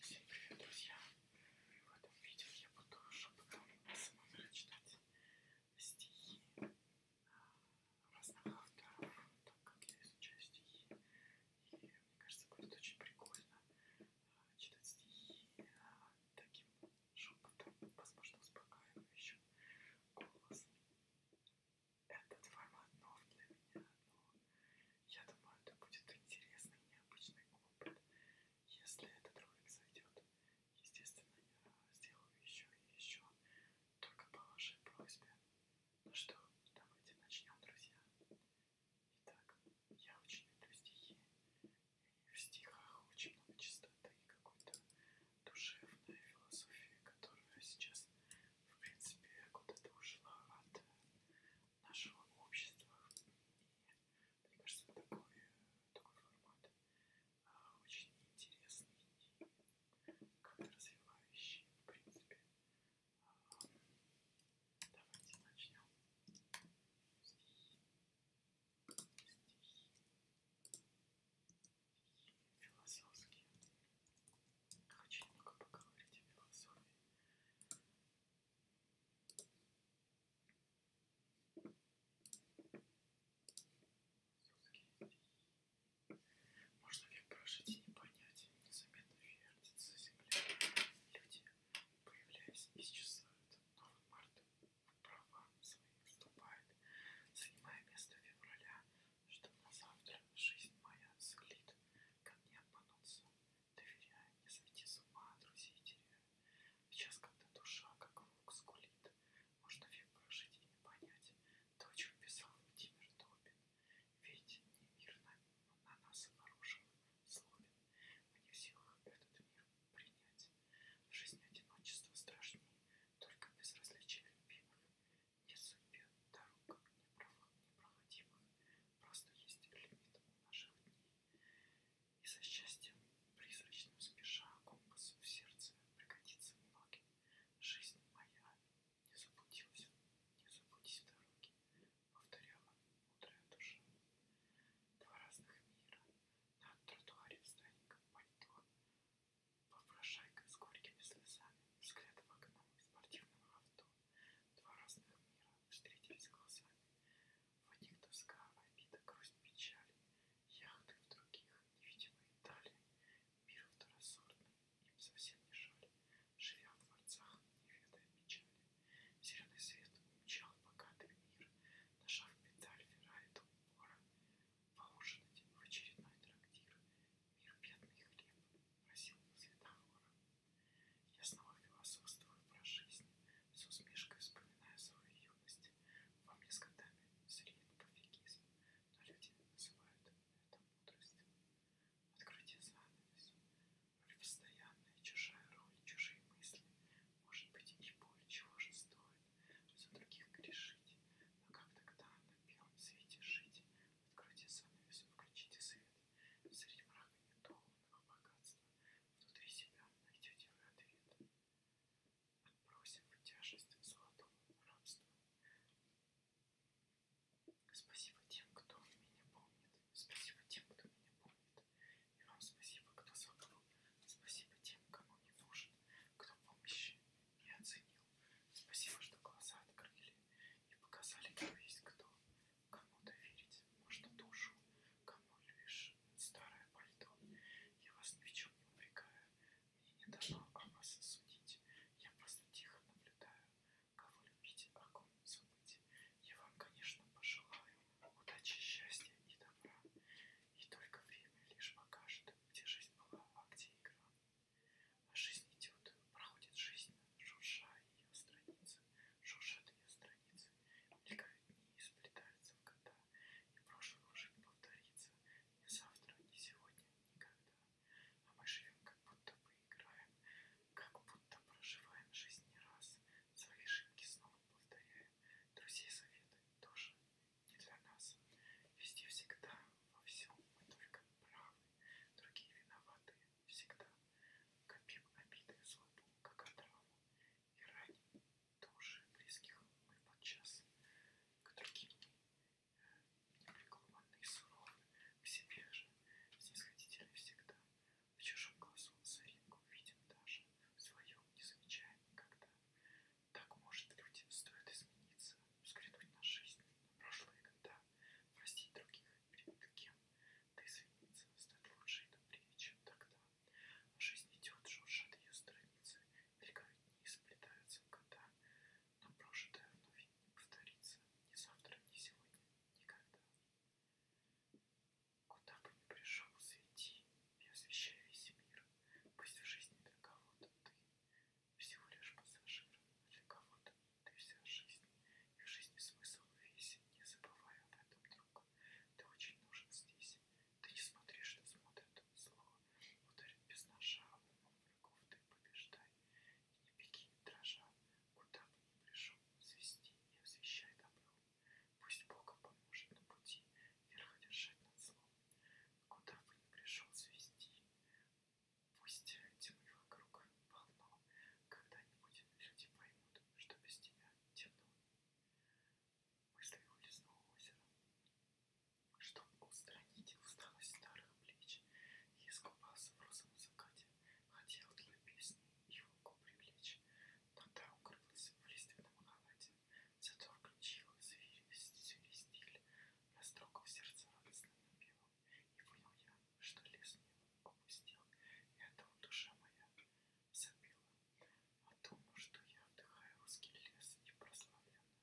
Всем привет, друзья! В этом видео я буду шепотом сама прочитать стихи разных авторов, так как я изучаю стихи. И мне кажется, будет очень прикольно читать стихи таким шепотом, возможно, успокаивающим голос. Этот формат нов для меня, но я думаю, это будет интересный и необычный опыт. Если этот ролик зайдет, естественно, я сделаю еще и еще, только по вашей просьбе. Ну что, давайте начнем, друзья. Итак, я очень люблю стихи. И в стихах очень много чистоты и какой-то душевной философии, которая сейчас, в принципе, куда-то ушла от нашего общества. И мне кажется, такой, такой формат а, очень интересный и как-то развивающий, в принципе. А, давайте начнем. Стихи. Стихи. Философские. Очень много поговорить о философии. Можно век прожить и не понять, незаметно вертится земля. Люди, появляясь, исчезают. Новый март в права свои вступает, занимая место февраля, что на завтра жизнь моя циклит как не обмануться, доверяя, не сойти с ума, друзей теряя. Сейчас, когда душа, как волк, скулит, можно век прожить и не понять то, о чем писал Владимир Добин. Ведь не мир на, на нас обнаружил, сломит, мы не в силах этот мир принять. В жизни одиночество страшнее, только безразличие любимых не судьбе дорог непроходимых, просто есть лимит у наших дней. И со счастьем, призрачным спеша, компас в сердце пригодится многим. Жизнь моя не заблудилась, не заблудись в дороге, повторяла мудрая душа. Два разных мира, на тротуаре встань, как пальто, попрошайка с горькими слезами, взгляд в окно спортивного авто. Два разных мира встретились глазами. В одних тоска, обида, грусть, печаль, яхты в других невидимые дали. Мир второсортный, им совсем не жаль, живя в дворцах, не ведая печали. Зеленый свет умчал богатый мир, нажав педаль, Феррari до упора, поужинать в очередной трактир. Мир бедный хлеб просил на светофора. Я снова философствую про жизнь, с усмешкой вспоминаю свою юность. Во мне с годами зреет пофигизм, но люди называют это мудростью. Открытие занавес, роль постоянная, чужая роль, чужие мысли. Может быть и боль, чего же стоит за других грешить, но а как тогда на белом свете жить? Откройте занавес, включите свет. Среди мрака недолгого богатства внутри себя найдете вы ответ. Отбросим тяжесть золотого рабства. Спасибо тем, кто меня помнит. Спасибо тем, кто меня помнит. И вам спасибо, кто забыл. Спасибо тем, кому не нужен, кто помощи и оценил. Спасибо, что глаза открыли и показали, кто есть кто. Кому доверить можно душу, кому лишь старое пальто. Я вас ни в чем не упрекаю, мне не дано о вас судить. Я просто тихо наблюдаю, кого любить, о а ком забыть. Я вам, конечно, пожелаю удачи, счастья и добра. И только время лишь покажет, где жизнь была, а где игра. А жизнь идет, проходит жизнь, шурша ее страницы, шуршат ее страницы, мелькают дни и сплетаются в года, и прошлое уже не повторится, ни завтра, ни сегодня, никогда. А мы живем, как будто бы играем, как будто проживаем жизнь не раз, свои ошибки снова повторяем, друзей советы тоже не для нас. Везде всегда, во всем мы только правы. Другие виноваты всегда. Копим обиды злобу, как отраву, И раним души близких мы подчас. К другим э, непреклонный суров, К себе же снисходительный всегда. В чужом глазу соринку видим даже, В своем не замечаем никогда. Так, может, людям стоит измениться, взглянуть на жизнь, на прошлые года, простить других перед кем, да извиниться, стать лучше и добрее, чем тогда. А жизнь идет, жужжат ее страницы, мелькают дни, сплетаются года, но прожитое вновь не повторится ни завтра, ни сегодня, никогда. Куда бы ни пришел, свети и освещай весь мир, пусть в жизни для кого-то ты всего лишь пассажир. Для кого-то ты вся жизнь, и в жизни смысл весь. Не забывай об этом, друг. Ты очень нужен здесь. Ты не смотри, что смотрят зло. Ударит без ножа, умом врагов ты побеждай. И не беги, не дрожа, куда бы ни пришел, свести и освещай добро. Пусть Бог поможет на пути, верх держать над злом. Куда бы ни пришел, свести. Пусть тьмы вокруг полно, когда-нибудь люди поймут, что без тебя темно. Мысли улизнуло озеро, чтобы устранить усталость старых плеч и искупаться в розовом закате, хотел твою песню и волку привлечь, но та укрылась в лиственном халате, зато включила зверь, стиль, я строго в сердце радостно напела, И понял я, что лес не опустил, И от того душа моя забила. О а том, что я отдыхаю русский лес и прославленную,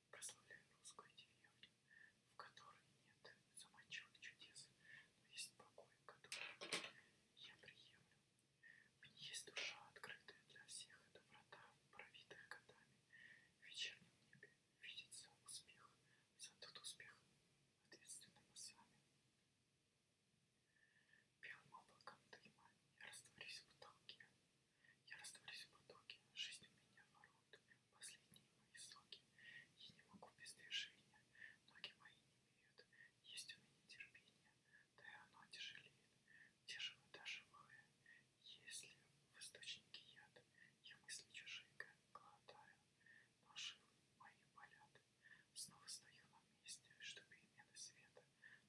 И прославляю русскую деревню, В которой нет заманчивых чудес, Но есть покой, который я приемлю. В ней есть душа, открытая для всех, Это врата, пробитая годами, в вечернем небе видится успех, за тот успех ответственным мы сами. Белым облаком дыма я растворюсь в потолке, я растворюсь в потоке, жизнь у меня ворот, последние мои соки. Я не могу без движения, ноги мои не имеют, есть у меня терпение, да и оно тяжелеет тяжелодышимое. Если в источнике яд, я мысли чужие глотаю, но жилы мои болят. Снова стою на месте, что перемены света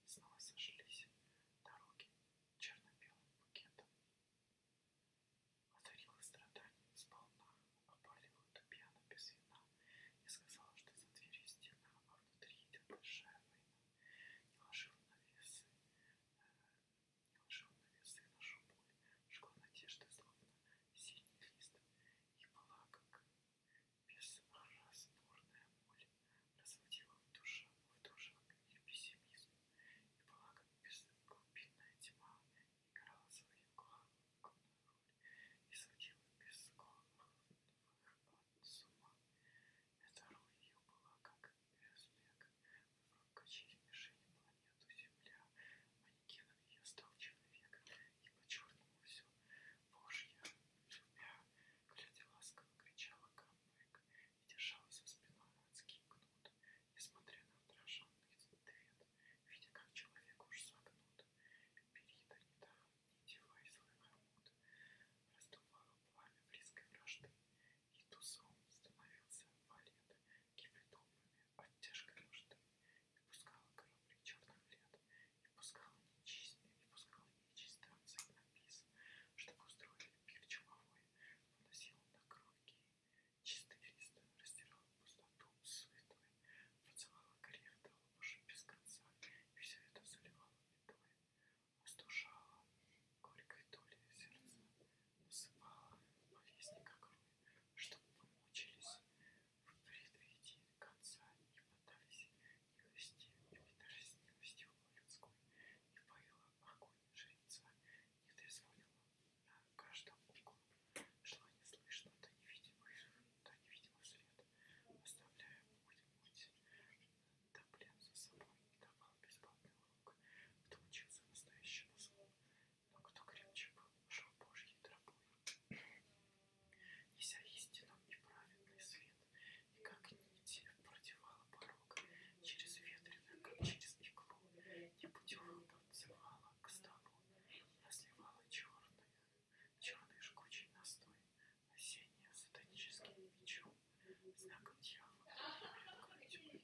снова сошлись. Дороги черно-белым букетом. Одарила страдания сполна, опалила тупьяна без вина и сказала, что за дверью стена, а внутри идет большая война не ложила на весы, не ложила на весы нашу боль, жгла надежды, словно синий лист, и была, как безразборная боль, разводила в душе, в душе и пессимизм, и была, как безглубинная тьма, играла свою главную роль, и сводила без головных от ума. Второй ее была как Эсбек. Вокруг качели мишени планету Земля. Манекеном ее стал человек. И по-черному все. Божья, любя, глядя ласково, кричала камбэк и держала за спиной адский кнут, несмотря на отраженный ответ, видя, как человек уж согнут. Перида не да, не девай свою минут раздувало пламя близкой вражды, и тузом становился валет, кипятомами от тяжкой нужды, и пускала корабли черных лет, и пускала нечистые, и пускала нечистые отцы на пис, чтобы устроили пир чумовой, выносил на круги чистый лист, растирала пустоту светлой, поцеловала грех до лопуши без конца, и все это заливало метлой остужала горькой долей сердца, усыпала повестника крови, чтобы мы мучились впредвиди конца и поддались милости, и питались милостью людской, и поила огонь жреца, не трезвонила на каждом углу, шла неслышно до невидимых, до невидимых след, оставляя путь, путь Тамплин за собой и давал бесплатный урок, кто учился настоящему злу, но кто крепче был, шел Божьей тропой. Неся истину и праведный свет, и как нити продевала порог через ветреную, как через иглу, и путевым подзывала к столу, разливала черные, черный жгучий настой, осенним сатаническим мечом, знаком дьявола, и тьмы,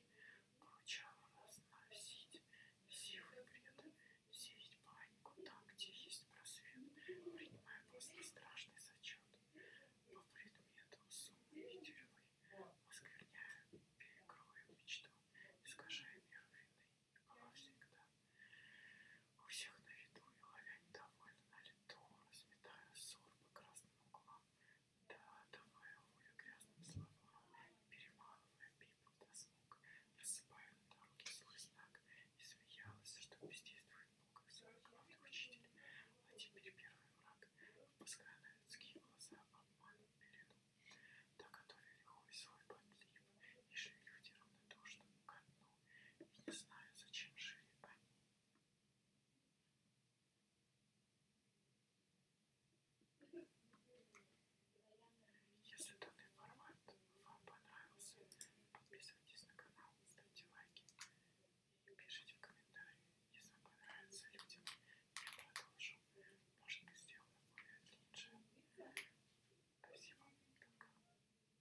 поручала разносить силы бред, сеять панику там, где есть просвет, принимая после страшный зачет по предмету суммы и тюрьмы, оскверняя, перекроя мечту, искажая мир вины, была всегда. У всех на виду и ловя недовольно на лету, разметая ссор по красным углам, да, давая волю грязным словам, перемалывая пепел до звук, рассыпая на дороге свой знак, и смеялась, что бездействует много свой главный учитель, а теперь первый враг, впуская на людские глаза обман пелену, да готовили хуй свой подлив, и жили люди равнодушно ко дну. И не знаю, зачем жили они. Если данный формат вам понравился, подписывайтесь на канал, ставьте лайки и пишите в комментарии, если вам понравится людям, я продолжу. Может быть сделано более длиннее. Спасибо. Пока.